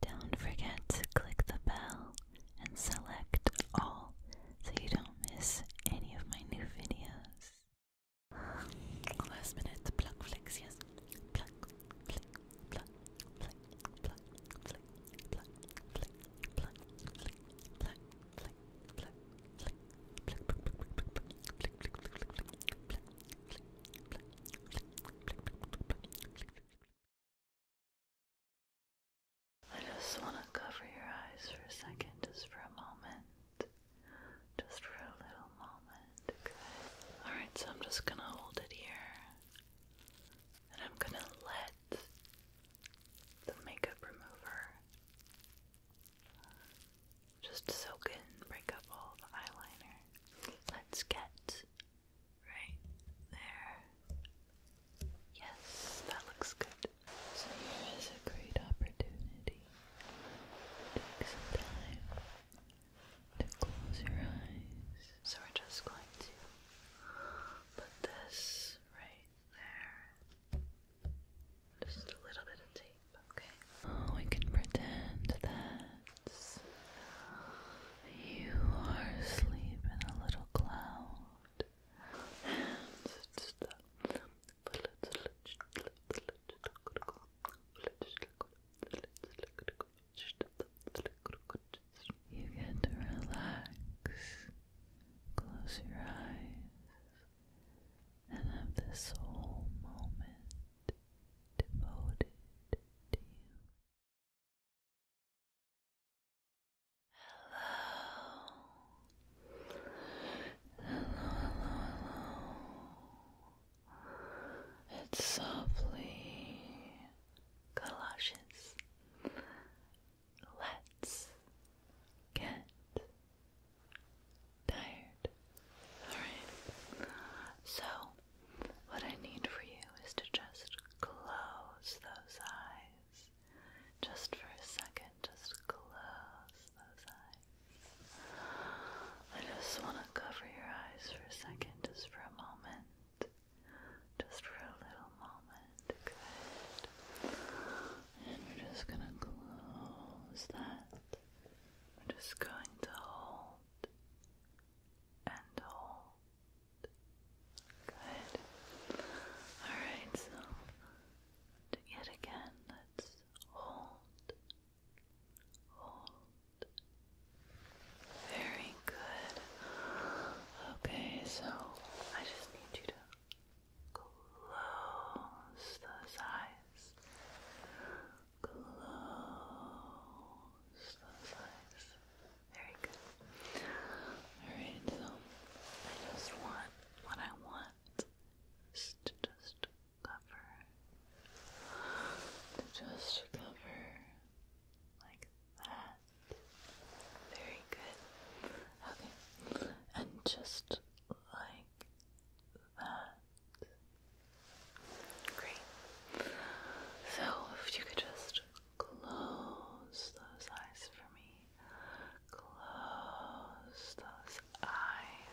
Don't forget to click the bell and select all so you don't miss any of my new videos. Last minute pluck flicks, yes. I just want to cover your eyes for a second, just for a moment. Just for a little moment. Good. Alright, so I'm just going to hold it here. And I'm going to let the makeup remover just soak in, break up all the eyeliner. Let's get Right there. Yes, that looks good. So here is a great opportunity. Take some time to close your eyes. So we're just going to put this right there. Just a little bit of tape, okay? Oh, we can pretend that you are asleep in a little cloud. And it's the you get to relax, close your eyes, and have this whole moment devoted to you hello, hello. It's softly galoshes. Let's get tired. Alright. So what I need for you is to just close those eyes. Just for a second, just close those eyes. I just want to cover your eyes for a second, just for a moment. Just for a little moment. Good. And we're just going to close that. We're just going to hold and hold Good. Alright, so yet again, let's hold. Hold. Very good. Okay, so I just need you to close those eyes. Close those eyes. Very good. Alright, so I just want what I want to just cover, to just cover like that. Very good. Okay, and just like that. Great. So, if you could just Close those eyes for me. Close those eyes.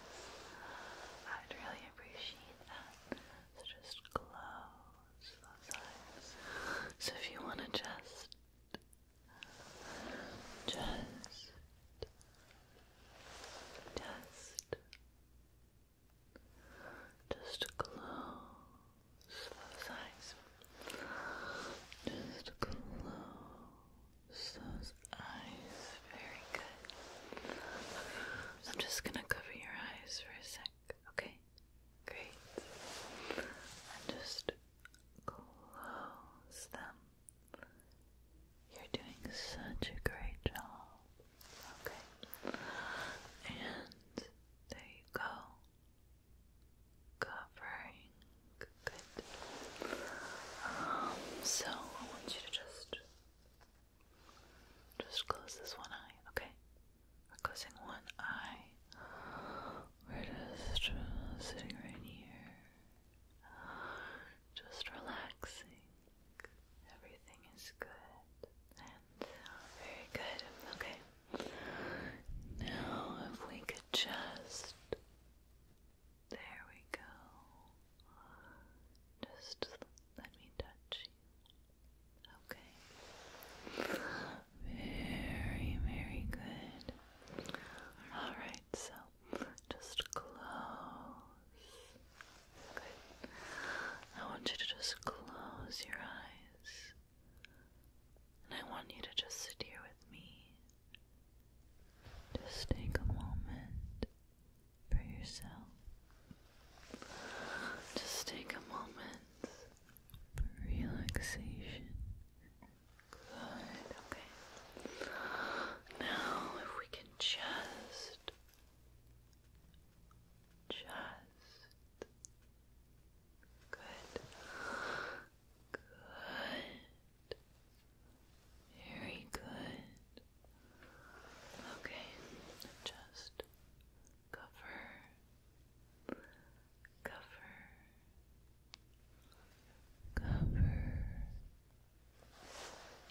I'd really appreciate that. So just close those eyes. So if you want to just, just, just just close those eyes. Just close those eyes. Very good. I'm just gonna cover your eyes for a sec, okay? Great. just close them. You're doing such a great job. Okay. And there you go. Covering. Good. Um, so I want you to just just close this one eye, okay? closing one eye. We're just sitting right here. Just relaxing. Everything is good. Very good. Okay. Now, if we could just. There we go. Just let me touch you. Okay. Very, very good. Alright, so just close. Good. I want you to just close your eyes. And I want you to just sit here with me. Just take a moment for yourself. Just take a moment for relaxation. Good, okay. Now, if we can just, just chest. Good. Good. Very good. Okay, just cover, cover, cover.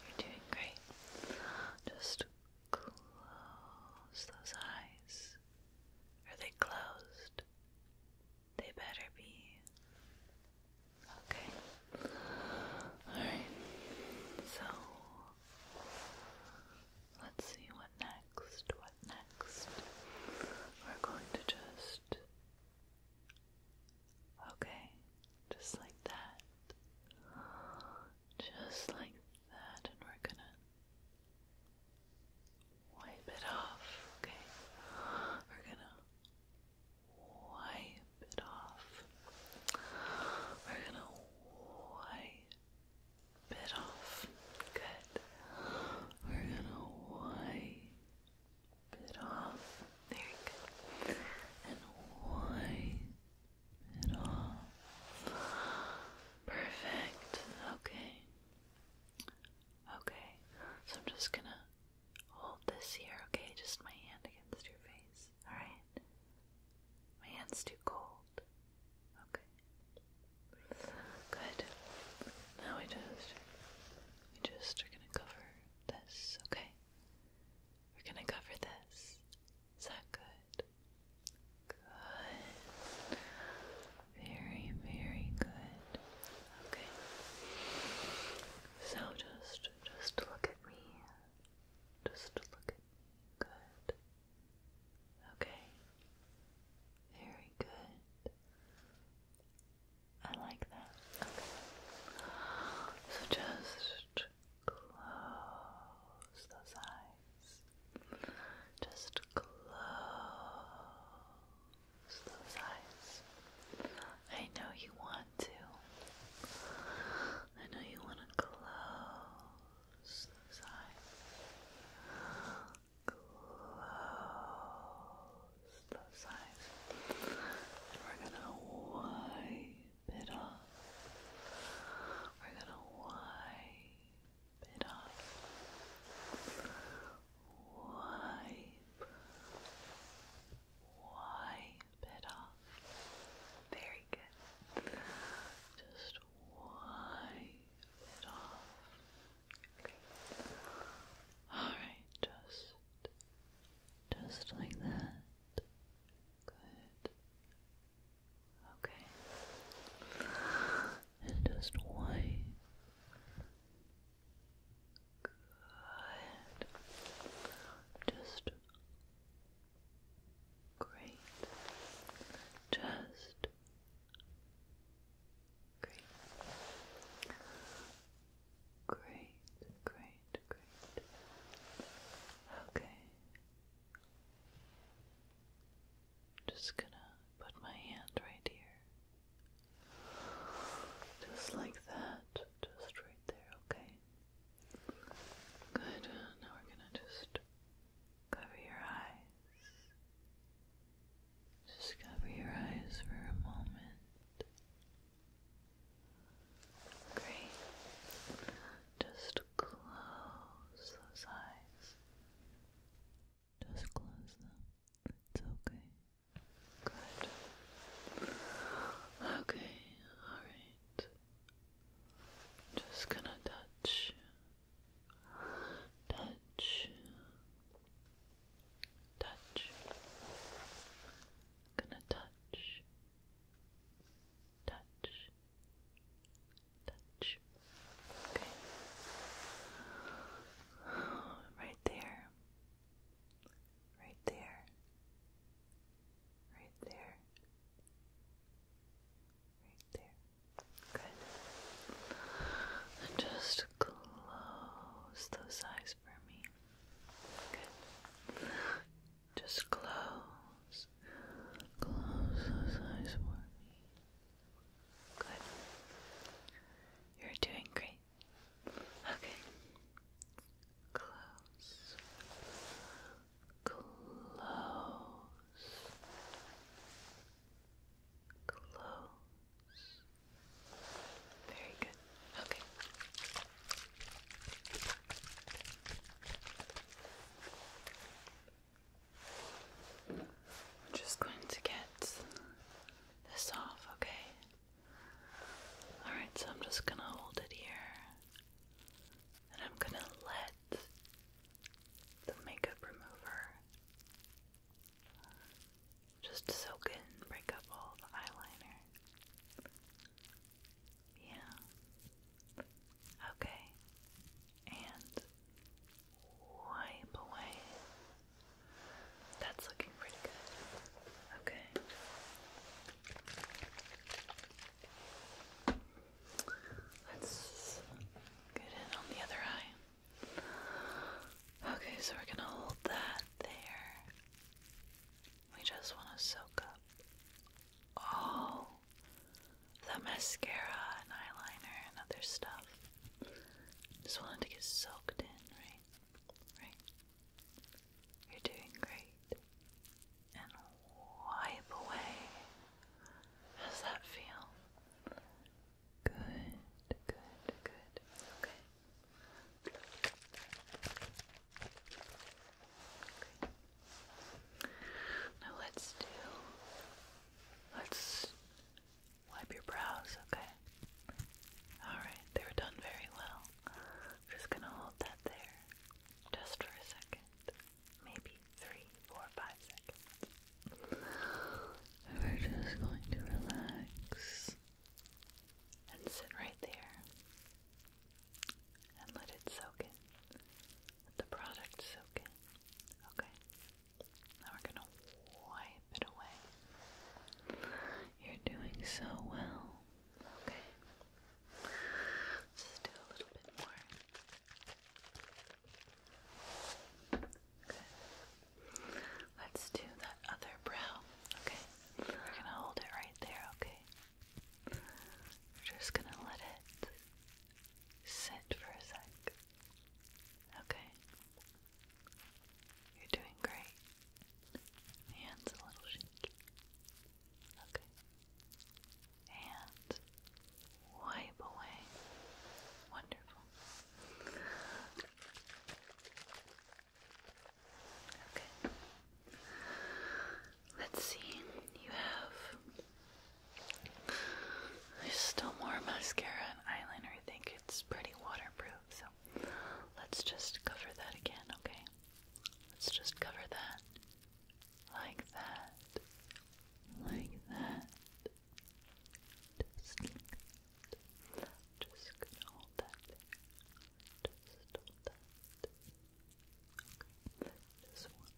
You're doing great. Just Close those eyes. Are they closed? They better be. Okay. Alright. So, let's see what next. What next? We're going to just. Okay. Just like that just like that, and we're gonna wipe it off, okay? We're gonna wipe it off. We're gonna wipe it off. Good. We're gonna wipe it off. There you And wipe Perfect. Okay. Okay. So I'm just gonna hold this here, okay? Just my hand against your face. Alright? My hand's too cold. Okay. Good. Now we just we just are gonna cover this, okay? We're gonna cover this. Is that good? Good. Very, very good. Okay. So just just look at me. Just look at me. Good. Okay. Very good. I like that. Okay. So just close those eyes. Just close those eyes. I know you want to. I know you want to close those eyes. Close those eyes. we're going to wipe it off. We're going to wipe bit Wipe, wipe it off. Very good. Just wipe it off. All right, just, just like that. Good. Okay. just white. Good. Just great. Just great. Great, great, great. Okay. Just gonna put my hand right here. Just like that. Just right there, okay? Good. Now we're gonna just cover your eyes. Just cover your eyes for a moment. Great. Just close those eyes. Just close them. It's okay. Good. Okay, alright. Just gonna touch. Touch. Touch. Gonna touch. Touch touch. Okay. Right there. Right there. Right there. Right there. Good. just close those eyes for me. Good. Just close. Close those eyes for me. Good. You're doing great. Okay. Close. Close. Close. Very good. Okay. I'm just going to get this off, okay? Alright, so I'm just gonna hold it here and I'm gonna let the makeup remover just soak in, break up all the eyeliner. Yeah. Okay. And wipe away. That's looking pretty good. Okay. Let's get in on the other eye. Okay, so we're gonna hold that there. We just want to soak up all the mascara and eyeliner and other stuff. Just wanted to get soaked in, right? Right? You're doing great. And wipe away. How's that feel? Good, good, good. Okay. Now let's do Let's wipe your brows, okay? Alright, they were done very well. I'm just gonna hold that there just for a second. Maybe three, four, five seconds. We're just going to relax and sit right there and let it soak in. the product soak Okay? Now we're gonna wipe it away. You're doing so well. Okay. Just do a little bit more. Good. Let's do that other brow. Okay. We're gonna hold it right there, okay? We're just gonna let it sit for a sec. Okay. You're doing great. hand's a little shaky. Okay. And wipe away. Wonderful. Okay. Let's see. You have there's still more mascara and eyeliner. I think it's pretty waterproof, so let's just cover that again, okay? Let's just cover that. Like that. Like that. Just like that. Just going that Okay. Just one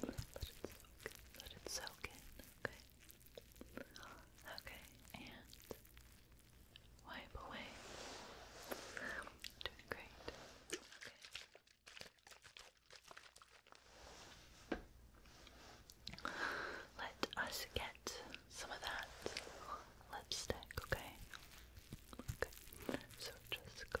Let it soak in. Okay. Okay. And wipe away. Doing great. Okay. Let us get some of that lipstick, okay? Okay. So just go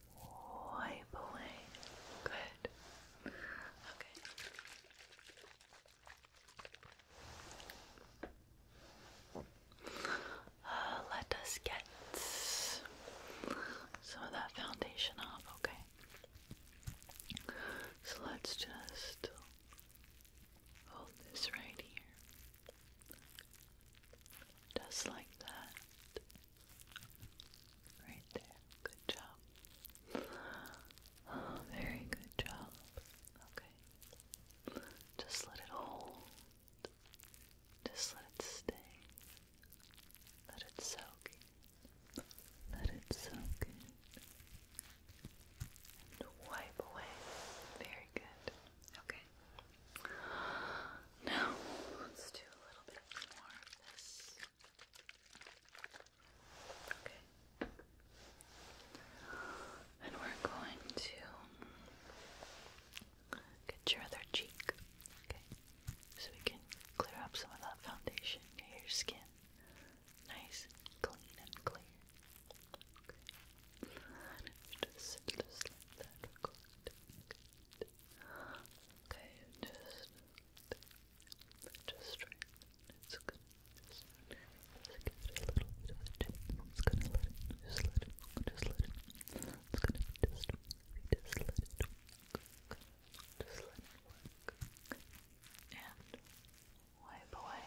wipe away. Good. Okay. Uh, let us get some of that foundation off, okay? So let's just hold this right here. Just like that. Right there. Good job. very good job. Okay. Just let it hold. Just let it stay. Let it soak Let it soak And wipe away. Very good. Okay. Now, let's do a little bit more of this. Okay. And we're going to get your other cheek. So we can clear up some of that foundation. Get your skin nice clean and clear. Okay, just just straighten. It's gonna just, give it a little bit of a tip. i gonna let it, just let it, just let it. It's gonna just, let it work. Just let it work. And wipe away.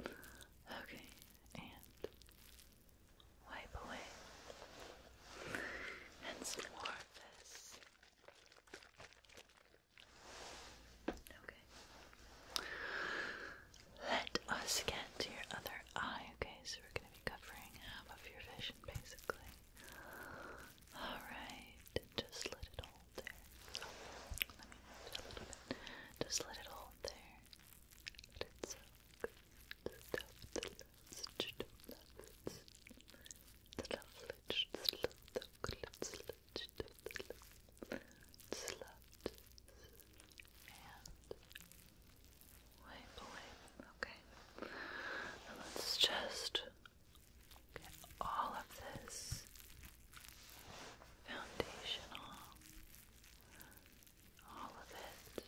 Okay, and wipe away and some this. Okay. Let us get to your other eye, okay? So we're gonna be covering half of your vision basically. Alright, just let it all there. let me move it a little bit. Just let it all there. Let it soak. The stuff that loves to do loves. The love lich, the love that glitz, lich, the love. Slut. And wipe away. Okay. Now let's just get all of this foundational, all of it.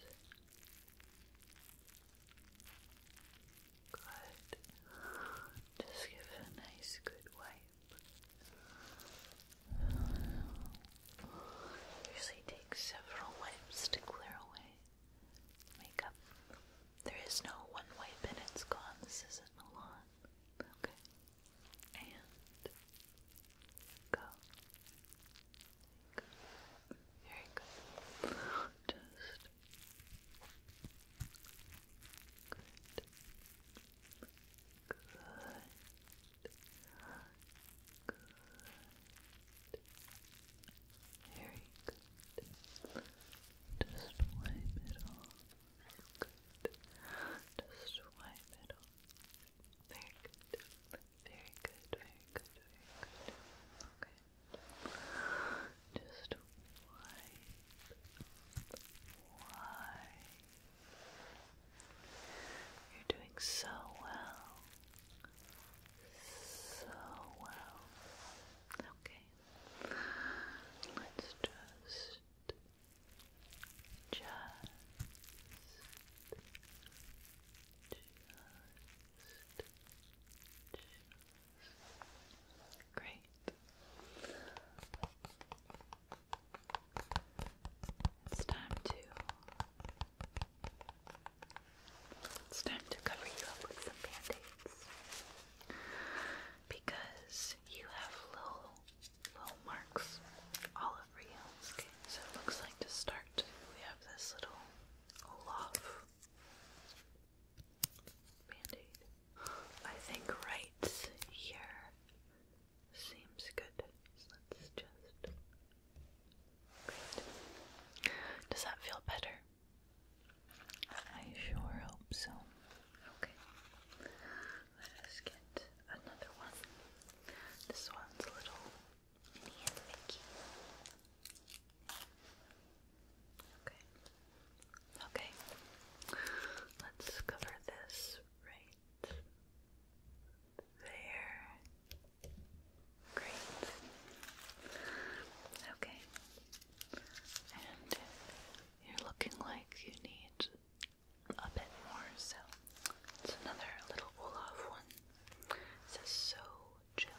Good. Just give it a nice good wipe. Usually takes several wipes to clear away makeup. There is no one wipe and it's gone. This isn't a Okay and go. Very good. Just good. Good. Good. Very good. Just wipe it off. Good. Just swipe it Very good. Very good. Very good. Very good. Okay. Just wipe. Wipe. You're doing so well. So well. Okay. Let's just just, just, Great. It's time to. It's time to cover you up with some band-aids because you have little little marks all over so it looks like to start, we have this little Olaf band I think right here seems good. let's just. Does that feel better? I sure hope so. Okay. Let us get another one. This one's a little Okay. Okay. Let's cover this right there. Great. Okay. And you're looking like you need a bit more. So it's another little Olaf one. It says so chill.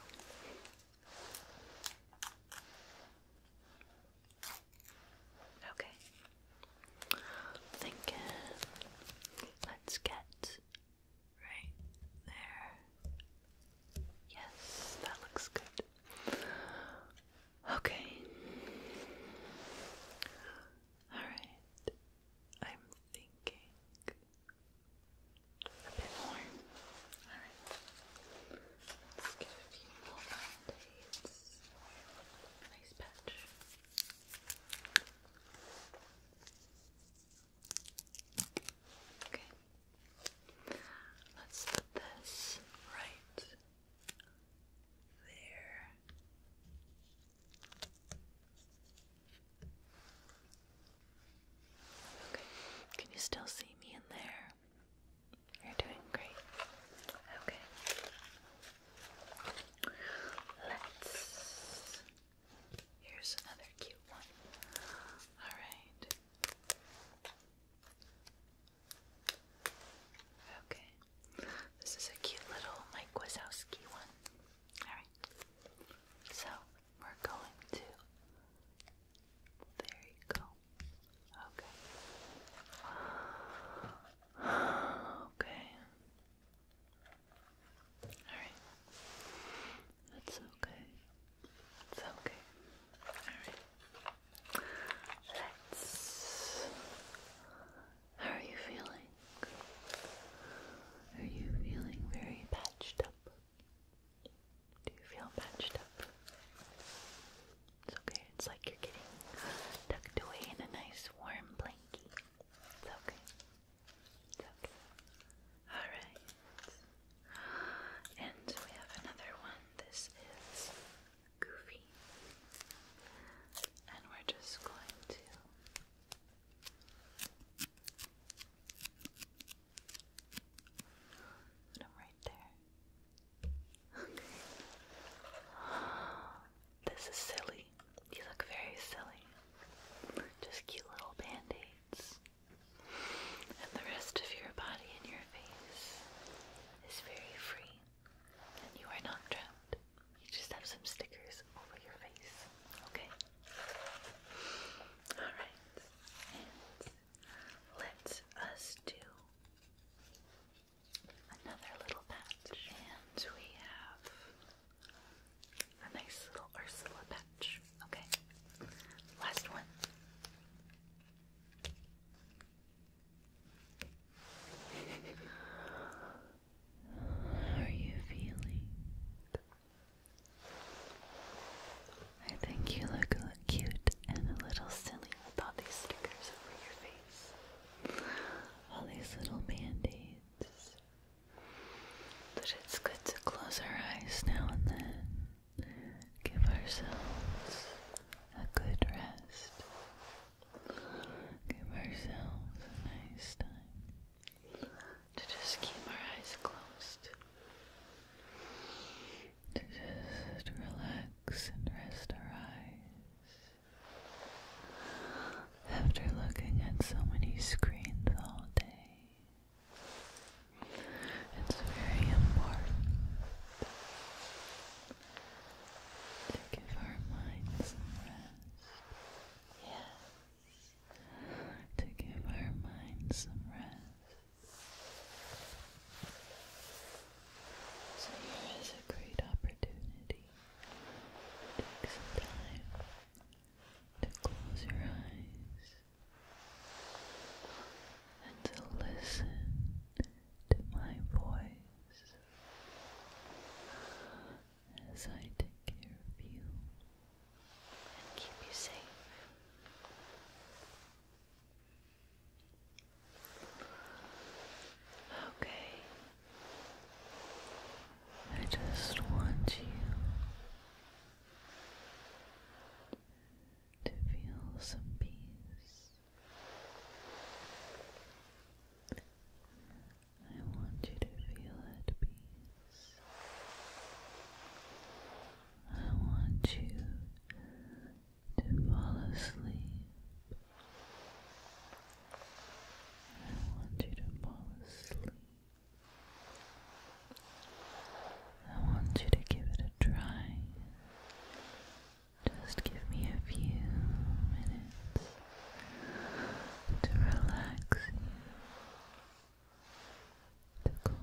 Okay. Thinking let's get right there. Yes, that looks good. Okay. Alright. I'm thinking a bit more. Alright. Let's get a few more band Nice patch. Okay. Let's put this right there. Okay, can you still see me in there? You're doing great. Okay. Let's. Here's another cute one. Alright. Okay. This is a cute little Mike Wazowski one. Alright. So we're going to there you go. Okay. Okay. Alright. That's okay. It's okay. Alright. Let's how are you feeling? Are you feeling very patched up? Do you feel patched up? It's okay, it's like you're getting tucked away in a nice warm blanket. It's okay. okay. Alright. And we have another one. This is goofy. And we're just going to put them right there. Okay. This is silly. You look very silly. Just cute little band-aids. And the rest of your body and your face is very free. And you are not drowned. You just have some stickers over your face. Okay? Alright. let us do another little patch. And we have a nice little Ursula patch. Okay? Last one are you feeling? I think you look, look cute and a little silly with all these stickers over your face. All these little band-aids. But it's good to close our eyes now and then. Give ourselves a good rest give ourselves a nice time to just keep our eyes closed, to just relax and rest our eyes after looking at so many screens all day. It's very important to give our minds some rest. Yes, to give our mind some rest. So here is a great opportunity. Take some time to close your eyes and to listen to my voice as I take care of you and keep you safe. Okay. I just want you to feel some peace I want you to feel at peace. I want you to fall asleep. I want you to fall asleep. I want you to give it a try. Just give me a few minutes to relax to calm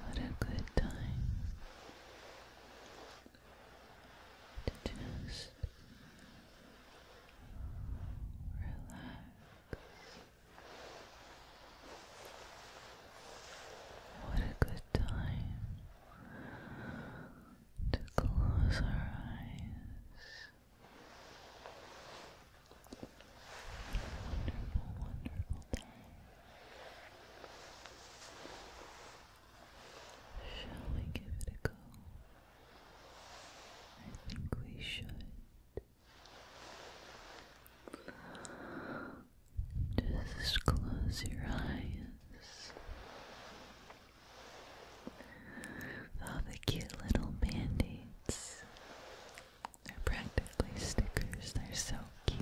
What a good time to just relax. What a good time to close our eyes. Wonderful, wonderful time. Shall we give it a go? I think we should. Just close your eyes. All the cute little band-aids. They're practically stickers. They're so cute.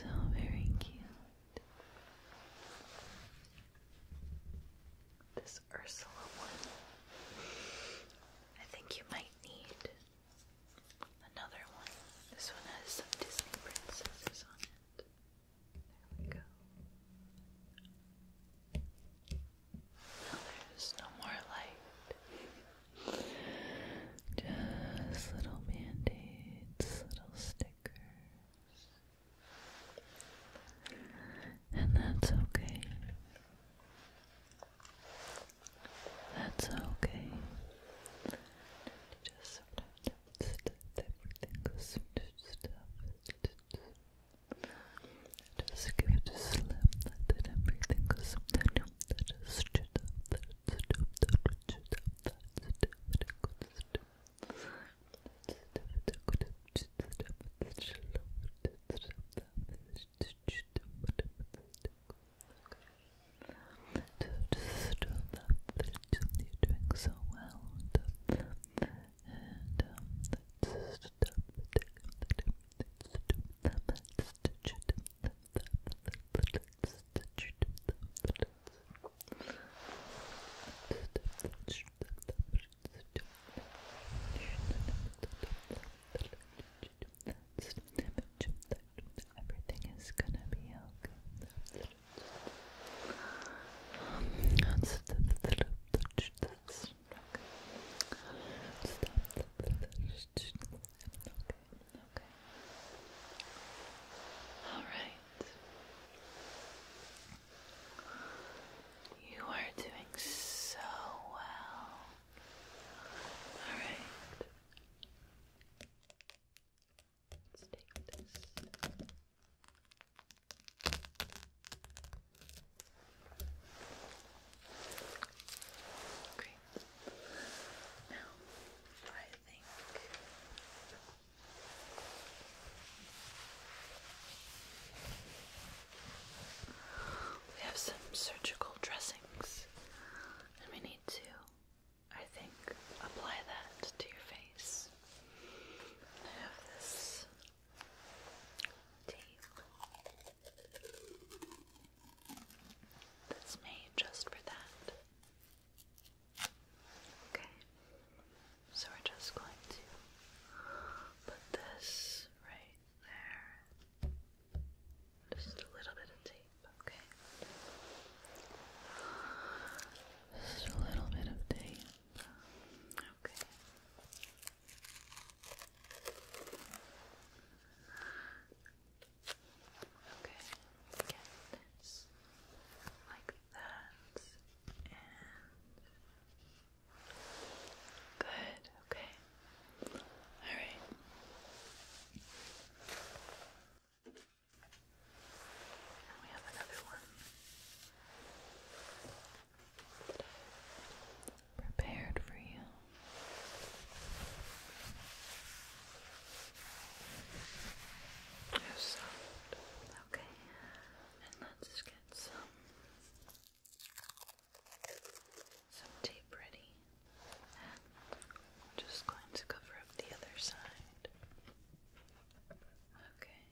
So very cute. The Ursula one. I think you might need another one. This one has some Disney princesses on it. There we go. no more light. Just little band aids, little stickers. And that's okay. That's okay. Just sometimes everything goes into stuff. Just give it a slam that everything goes something that is stupid, that is stupid, that is stupid, that is stupid, that is stupid. That's you're doing so well. And, um, that's just Everything is gonna be okay. Okay. All right. You are doing so well. All right. Let's take this. Great. Now, I think we have some surgical dressings, and we need to, I think, apply that to your face. I have this tape that's made just for that. Okay, so we're just going to put this right there. Just a little bit of tape, okay? Just a little bit of tape. Okay. Okay, get like that and Good, okay. All right. we have another one. Prepared for you. you soft. Okay. And let's get some some tape ready, just going to cover up the other side. Okay,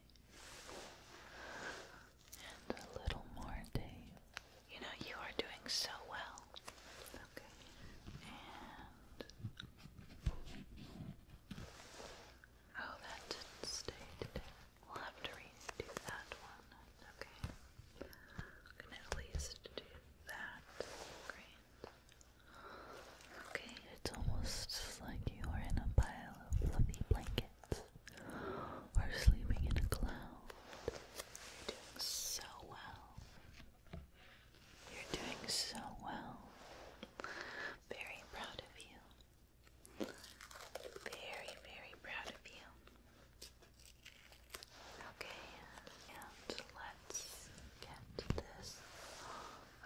and a little more tape. You know, you are doing so well. Okay, and oh, that didn't stay We'll have to redo that one. Okay. I can at least do that. Great. Okay, it's almost like you are in a pile of fluffy blankets or sleeping in a cloud. You're doing so well. You're doing so well. Very proud of you. Very, very proud of you. Okay, and let's get this.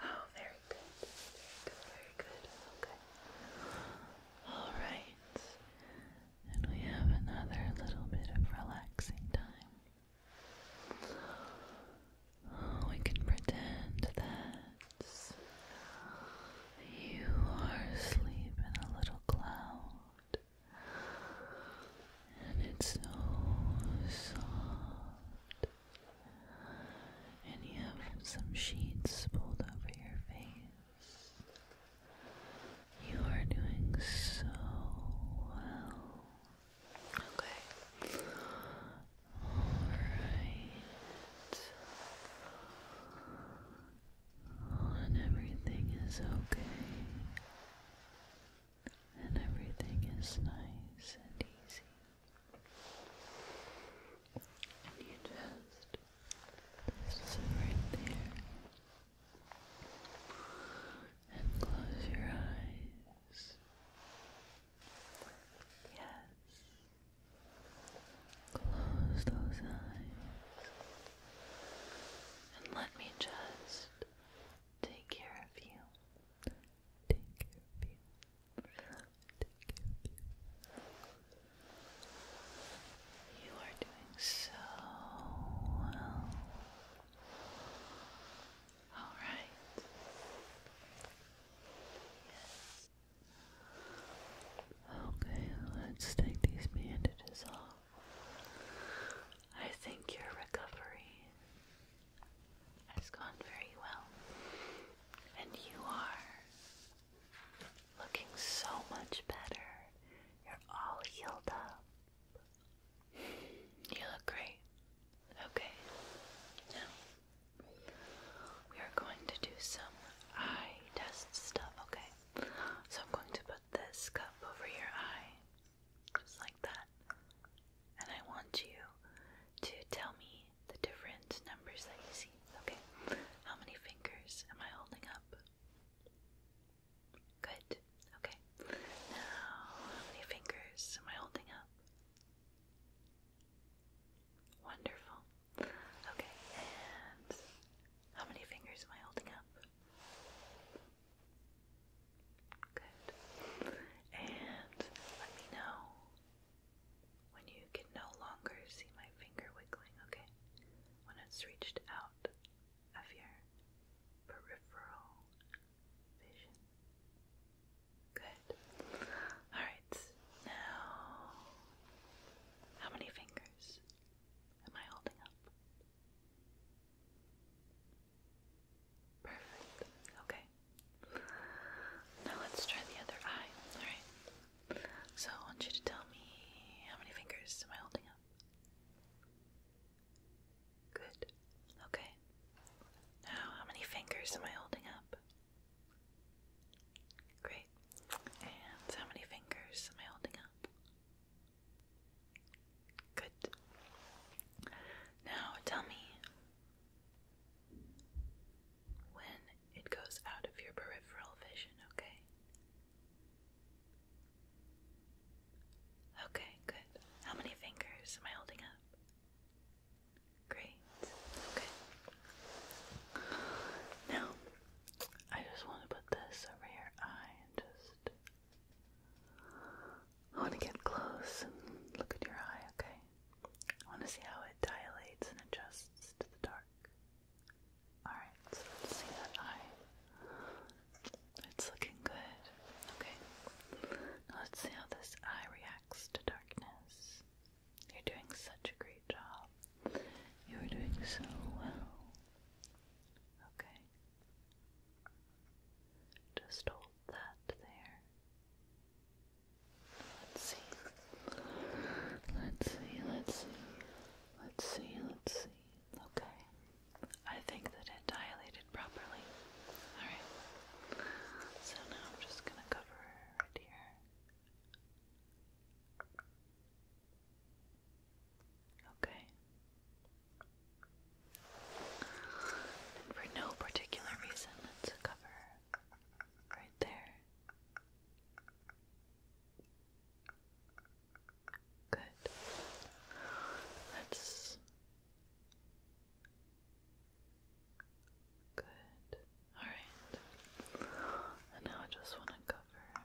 Oh, very good. Very good, very good. Okay. Alright. And we have another little bit of relaxing time. we can pretend that you are asleep in a little cloud, and it's so soft. And you have some sheets pulled over your face. You are doing so well. Okay. Alright and everything is okay, and everything is nice and easy, and you just, just sit right there and close your eyes. Yes, Close those eyes and let me just take care of you. Take care of you. Take care of you. You are doing so well. All right. Okay, let's take these bandages off. I think your recovery has gone very well, and you are looking so much better. You're all healed up. You look great. Okay, now we are going to do some eye test stuff, okay? So I'm going to put this cup over your eye, just like that. And I want you to tell me the different numbers that you see. Okay. How many fingers am I holding up? Good. Okay. Now, how many fingers am I holding up? Wonderful. Okay, and how many fingers am I holding up? Good. And let me know when you can no longer see my finger wiggling, okay? When it's reached out of your peripheral vision. Good. Alright, now how many fingers? Am I holding up? Perfect. Okay. Now let's try the other eye. Alright. So I want you to tell me how many fingers am I holding up? Good. Okay. Now, how many fingers am I holding up? Great. And how many fingers am I holding up? Good. Now tell me when it goes out of your peripheral vision, okay? Okay, good. How many fingers am I holding up? Great. Okay. Now, I just want to put this over your eye and just. I want to get close and look at your eye, okay? I want to see how it dilates and adjusts to the dark. Alright, so let's see that eye. It's looking good, okay? let's see how this eye reacts to darkness. You're doing such a great job. You're doing so well. Okay. Just hold that there. Let's see. Let's see, let's see. Let's see, let's see. Okay. I think that it dilated properly. Alright. So now I'm just gonna cover right here. Okay. And for no particular reason, let's cover right there. Good. Let's. Good. Alright. And now I just want to cover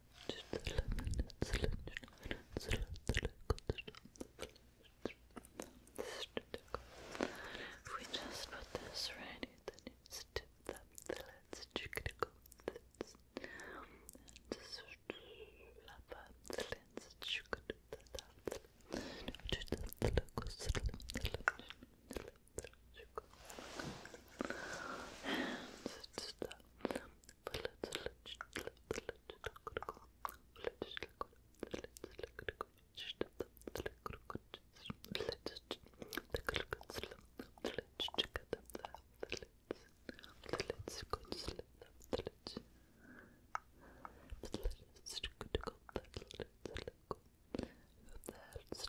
If we just put this right here, then you step up the lids, you could go this and just flap up the lens, you could do that. And just, uh, but let's let you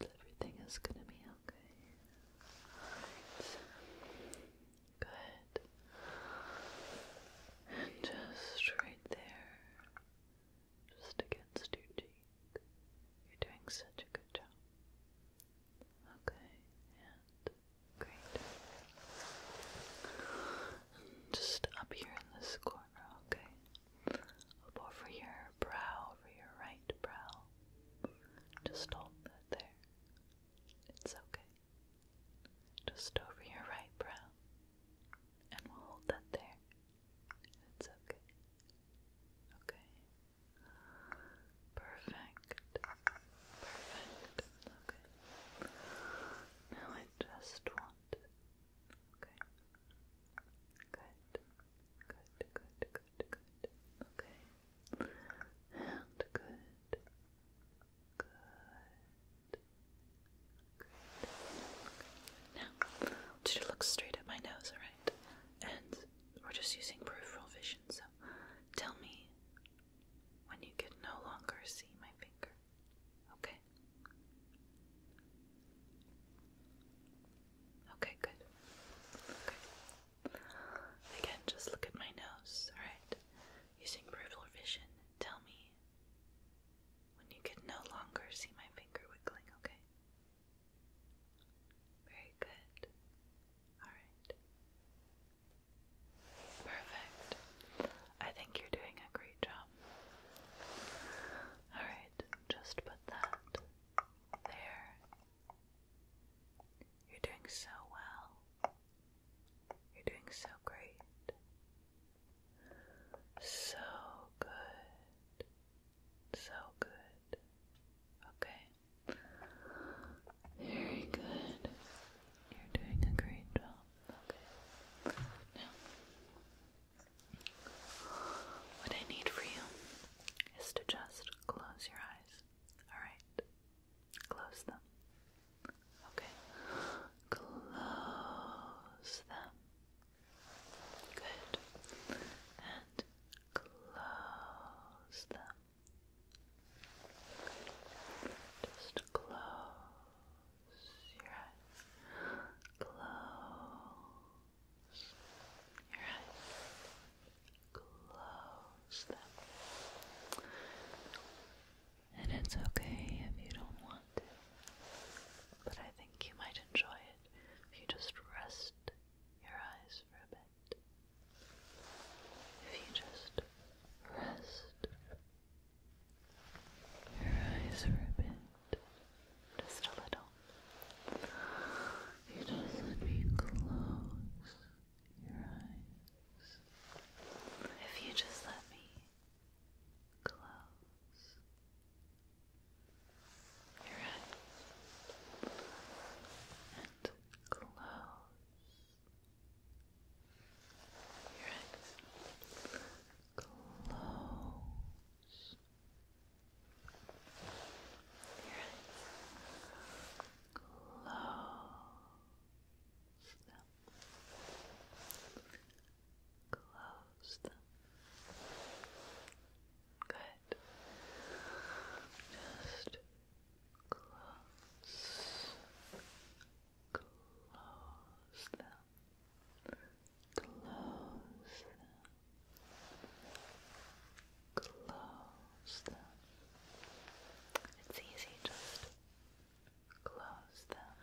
Everything is gonna be okay. Right. Good. just right there, just against your cheek. You're doing such a good job. Okay, and great. just up here in this corner, okay? Up over your brow, over your right brow. Just hold that there. It's okay just over your right brow, and we'll hold that there. It's okay. Okay. Perfect. Perfect. Okay. Now I just want. Okay. Good. Good. Good. Good. Good. Okay. And good. Good. Now, to look straight at my nose, alright? And we're just using peripheral vision, so tell me when you can no longer see my finger. Okay? Okay, good. Okay. Again, just look at my nose, alright? Using brutal vision, tell me when you can no longer see my finger wiggling, okay? Very good. Alright. Perfect. I think you're doing a great job. Alright, just put that there. You're doing so well. You're doing so great. So good. So good. Okay. Very good. You're doing a great job. Okay. Now, what I need for you is to just close your eyes. Alright. Close them. Okay. Close them. Good. And close them. Just close your eyes. Close your eyes. Close them. And it's okay if you don't want to. But I think you might enjoy it if you just rest your eyes for a bit. If you just rest your eyes for a bit, just a little. You just let me close your eyes. If you just let me close your eyes and close your eyes, close your eyes, close. Close them. Good. Just close. Close them. Close them. Close them. It's easy, just Close them.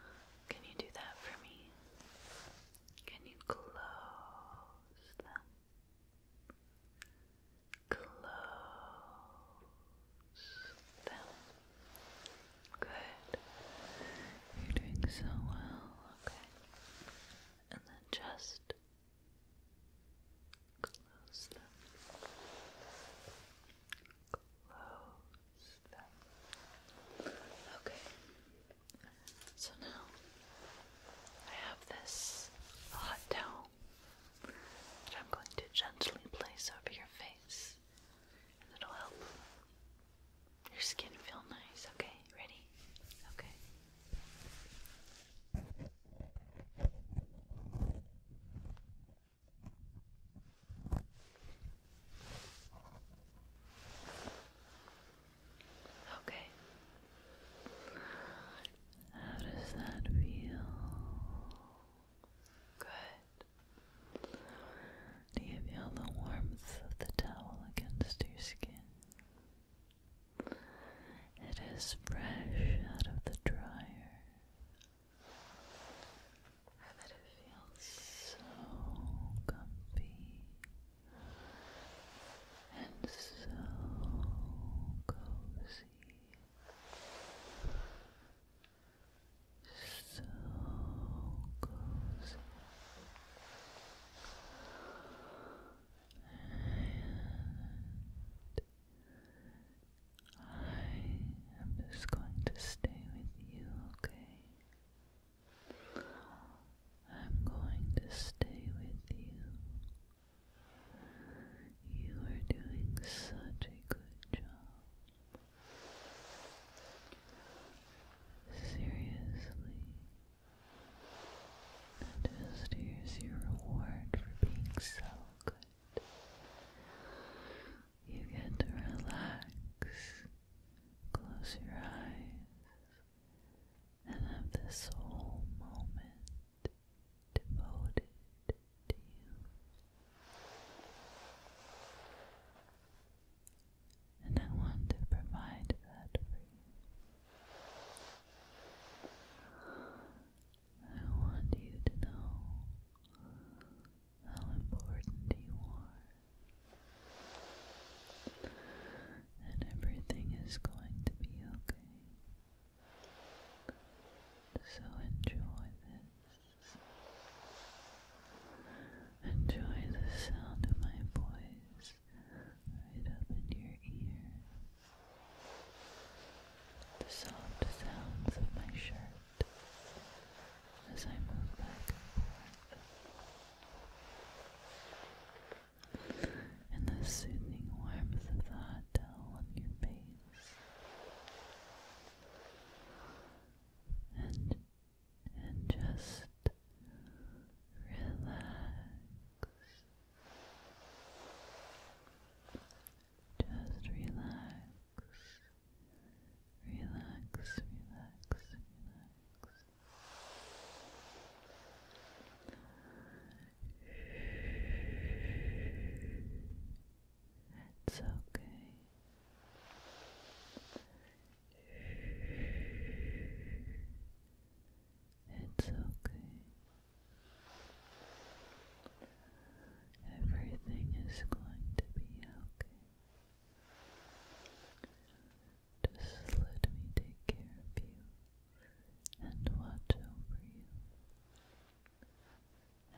Can you do that for me? Can you close them? Close them. Good. You're doing so well. Okay. And then just Close them. Close them. Okay. So now I have this hot towel that I'm going to gently place over your face, and it'll help your skin feel nice. Okay, ready? Okay. Okay. How does that feel? Good. Do you feel the warmth of the towel against your skin? It is fresh out of the dryer. I it feels so comfy and so cozy. So cozy. And I am just going to stay with you, okay? I'm going to stay with you. You are doing such a good job. Seriously. Just your reward for being so good. You get to relax, close your eyes, and have this whole moment devoted to you. And I want to provide that for you. I want you to know how important you are. And everything is going to be okay. So enjoy this. Enjoy the sound of my voice right up in your ear. The soft sounds of my shirt as I move back and forth. And the soothing warmth of the hot towel on your face. And and just relax. Just relax relax, relax, relax. It's okay. It's okay. Everything is going to be okay. Just let me take care of you and watch over you.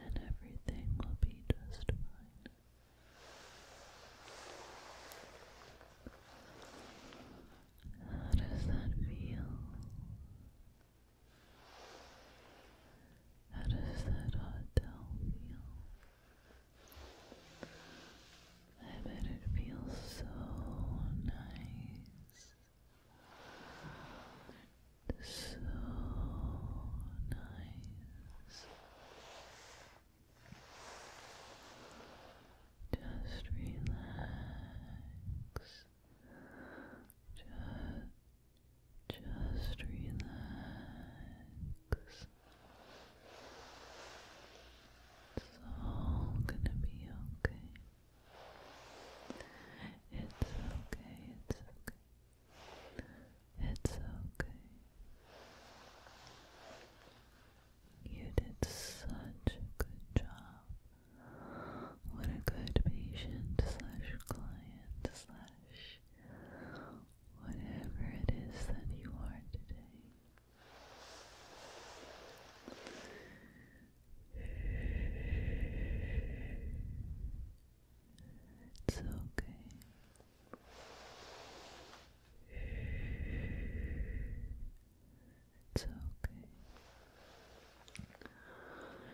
And everything will be just fine. How does that feel? How does that hotel feel? I bet it feels so nice. So nice. Just relax. Just just relax. It's all gonna be okay. It's okay, it's okay. It's okay. You did such a good job. What a good patient slash client slash whatever it is that you are today. It's okay. It's okay.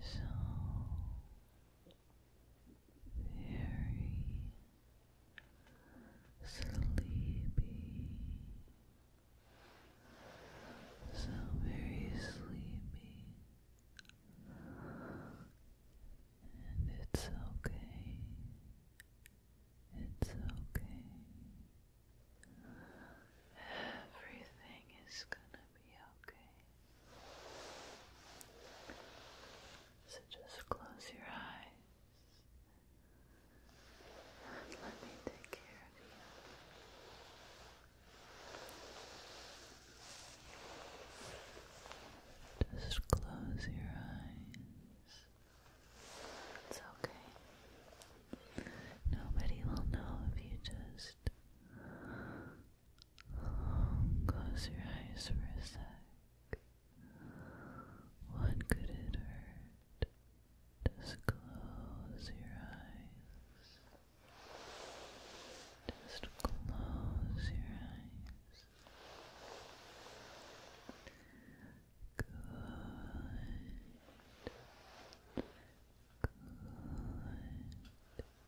so very sleepy, so very sleepy, and it's okay, it's okay. Everything is gonna be okay. So just close your eyes let me take care of you. Just close your eyes. It's okay. Nobody will know if you just Close your eyes for a sec. What could it hurt? Just close your eyes. Just close your eyes. Good. Good.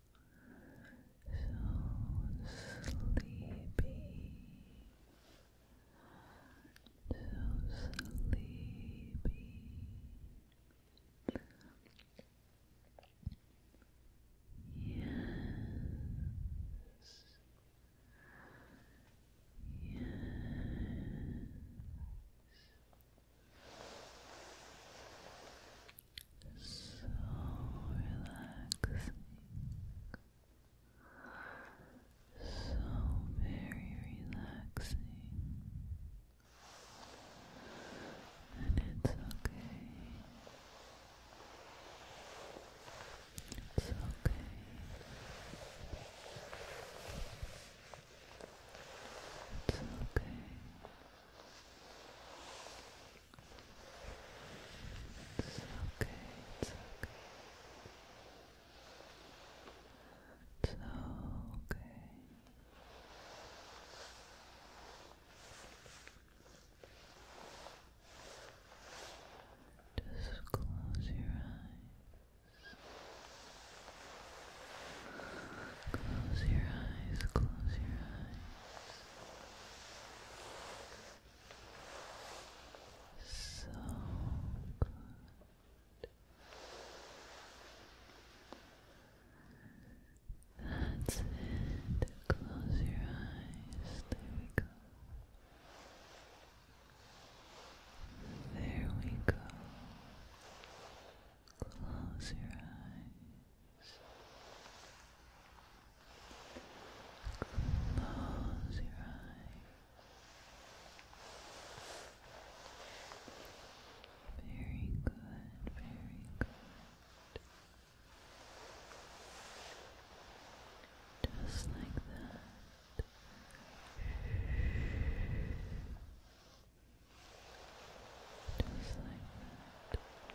so sleepy, so sleepy. Yes. Yes. So relaxing. So very relaxing. And it's okay. It's okay. It's okay. It's okay, it's okay. It's okay. Just close your eyes. Close your eyes, close your eyes. So good. That's it. Close your eyes. There we go. There we go. Close your eyes. Close your eyes. Very good, very good. Just like that. Just like that.